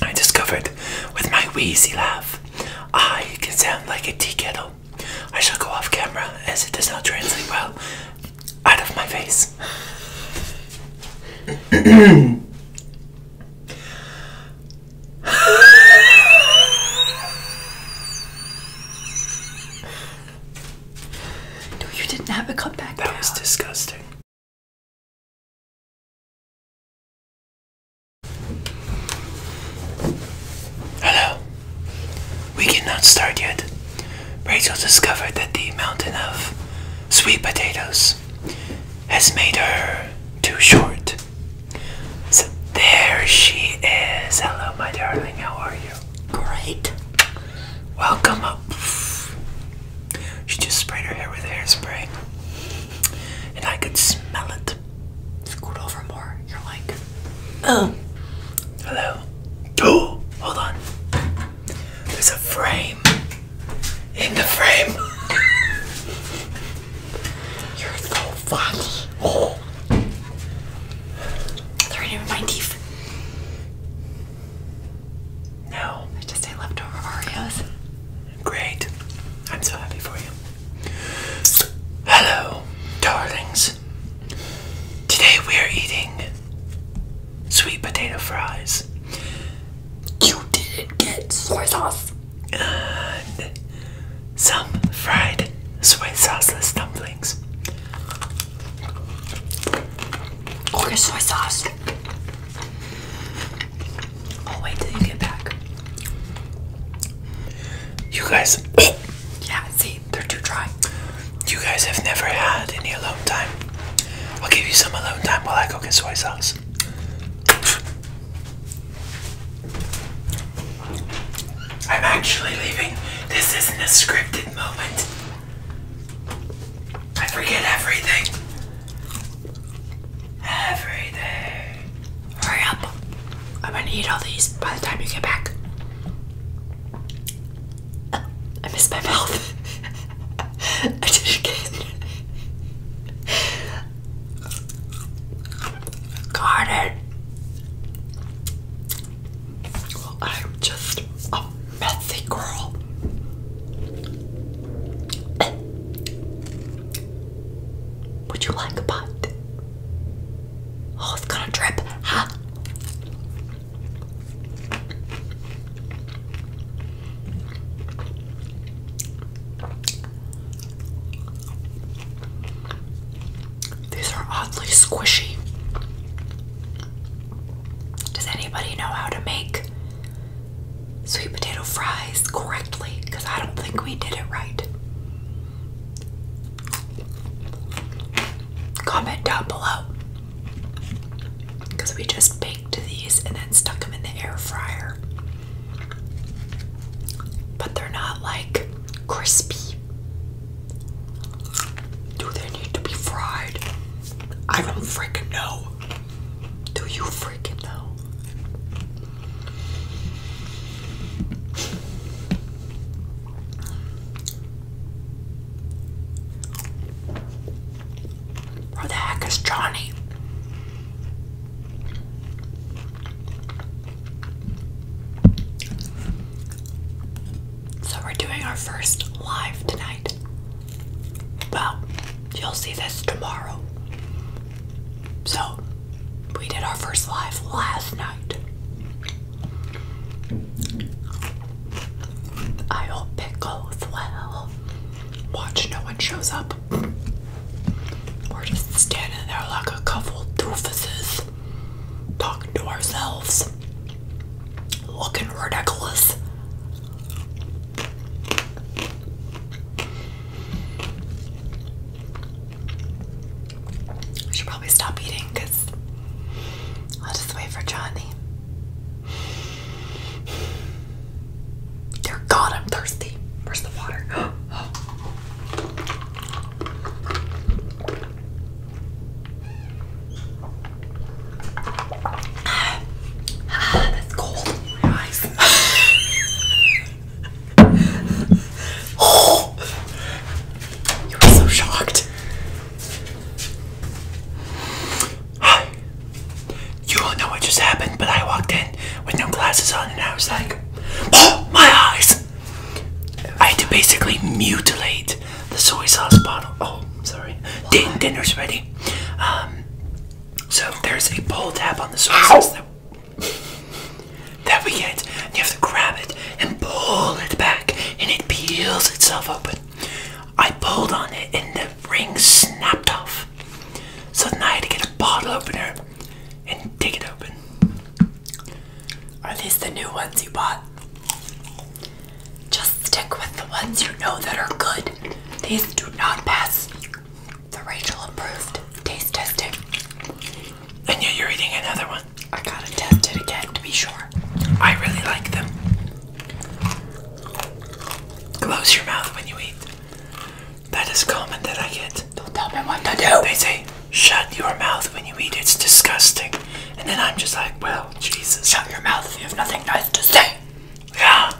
I discovered with my wheezy laugh, I ah, can sound like a tea kettle. I shall go off camera as it does not translate well out of my face. no, you didn't have a comeback. That was disgusting. Hello. We cannot start yet. Rachel discovered that the mountain of sweet potatoes has made her too short. So there she is. Hello, my darling. How are you? Great. Welcome up. She just sprayed her hair with hairspray. And I could smell it. Scoot over more. You're like, oh, hello. Oh, hold on. There's a frame. In the frame. You're so funny. Oh. They're in my no. I just ate leftover Oreos. Great. I'm so happy for you. Hello, darlings. Today we are eating sweet potato fries. You didn't soy sauce. And some fried soy sauceless dumplings. Okay, soy sauce. i wait till you get back. You guys. yeah, see, they're too dry. You guys have never had any alone time. I'll give you some alone time while I go get soy sauce. I'm actually leaving. This isn't a scripted moment. I forget everything. Everything. Hurry up. I'm gonna eat all these by the time you get back. I missed my mouth. I did it again. Got it. I'm just a messy girl. Would you like a bite? Oh, it's gonna drip, huh? These are oddly squishy. Does anybody know how to make sweet potato fries correctly? Because I don't think we did it right. Comment down below. Because we just baked these and then stuck them in the air fryer. But they're not like crispy. Do they need to be fried? I don't freaking know. Do you freaking know? Where the heck is Johnny? So we're doing our first live tonight. Well, you'll see this tomorrow. So, we did our first live last night. I hope it goes well. Watch, no one shows up. We're just standing there like a couple doofuses talking to ourselves, looking ridiculous. I should probably stop eating because I'll just wait for Johnny. Dear God, I'm thirsty. Where's the water? Oh. Ah, that's cold my eyes. oh, you were so shocked. You don't know what just happened, but I walked in with no glasses on, and I was like, oh, my eyes! I had to basically mutilate the soy sauce bottle. Oh, sorry. Din dinner's ready. Um, so there's a pull tab on the soy sauce that, that we get, and you have to grab it and pull it back, and it peels itself open. I pulled on it, and the ring snapped off. So then I had to get a bottle opener and dig it open. Are these the new ones you bought? Just stick with the ones you know that are good. These do not pass the Rachel approved taste testing. And yet you're eating another one. I gotta test it again to be sure. I really like them. Close your mouth when you eat. That is common that I get. Don't tell me what to do. They say, shut your mouth when you eat, it's disgusting. And then I'm just like, well, Jesus. Shut your mouth you have nothing nice to say. Yeah.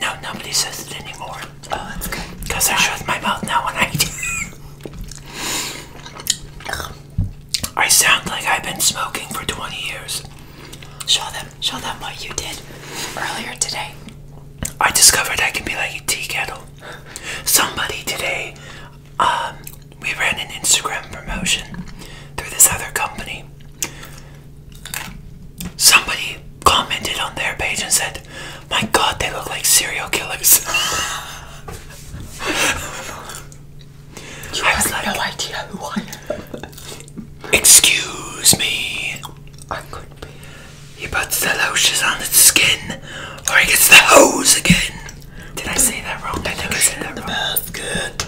No, nobody says it anymore. Oh, that's good. Because I shut my mouth now when I eat. I sound like I've been smoking for 20 years. Show them, show them what you did earlier today. I discovered I can be like a tea kettle. Somebody today, um, we ran an Instagram promotion through this other company. Somebody commented on their page and said, My god, they look like serial killers. I have no idea who I Excuse me. I could be. He puts the lotion on the skin, or he gets the hose again. Did I say that wrong? I think I said that wrong. That's good.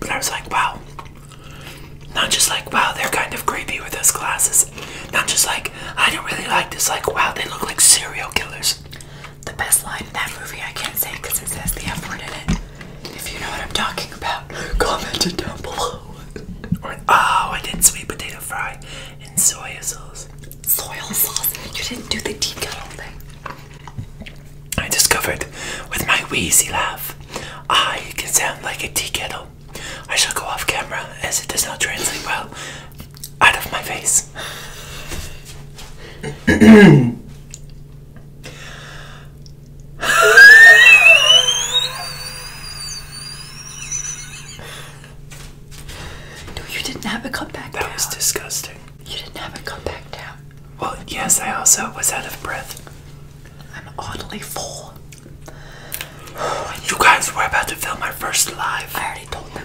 But I was like, wow. Not just like, wow, they're kind of creepy with those glasses. Not just like, I don't really like this. Like, wow, they look like serial killers the best line in that movie I can't say because it says the F word in it. If you know what I'm talking about, comment it down below. oh, I did sweet potato fry in soy sauce. Soy sauce? You didn't do the teakettle thing. I discovered with my wheezy laugh, I can sound like a teakettle. I shall go off camera as it does not translate well out of my face. no, you didn't have it come back that was disgusting. You didn't have it come back down. Well, yes, I also was out of breath. I'm oddly full. you guys were about to film my first live. I already told them.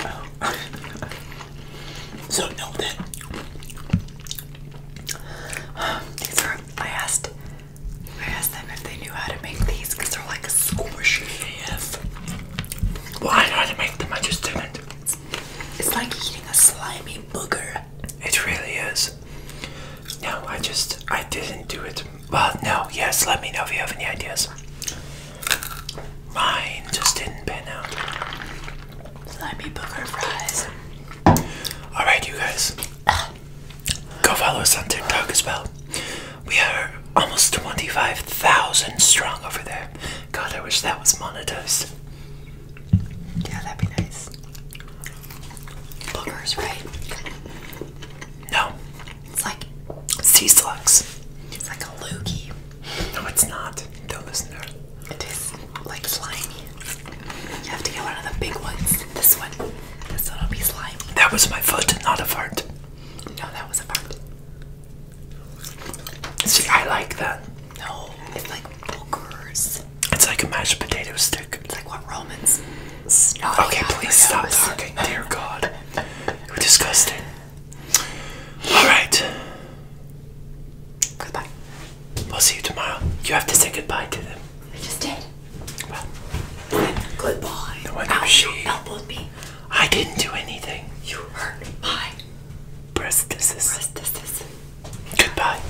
Oh. so know that these are. I asked. I asked them if they knew how to make these because they're like a squishy Why do I make them. I just didn't. It's, like eating a slimy booger. It really is. No, I just I didn't do it. But no. Yes, let me know if you have any ideas. Mine just didn't pan out. Slimy booger fries. Alright, you guys. Go follow us on TikTok as well. We are almost 25,000 strong over there. God, I wish that was monetized. Yeah, that'd be nice. Boogers, right? No, it's like sea slugs. It's like a loogie. No, it's not. Don't listen to her. It is like slimy. You have to get one of the big ones. This one. This one will be slimy. That was my foot, not a fart. No, that was a fart. See, I like that. No, it's like boogers. It's like a mashed potato stick. It's like what Romans. Snotty okay, please stop talking. Dear God, you're disgusting. All right. Goodbye. We'll see you tomorrow. You have to say goodbye to them. I just did. Well, goodbye. No she elbowed me. I didn't do anything. You hurt my breastises. Breastises. Goodbye.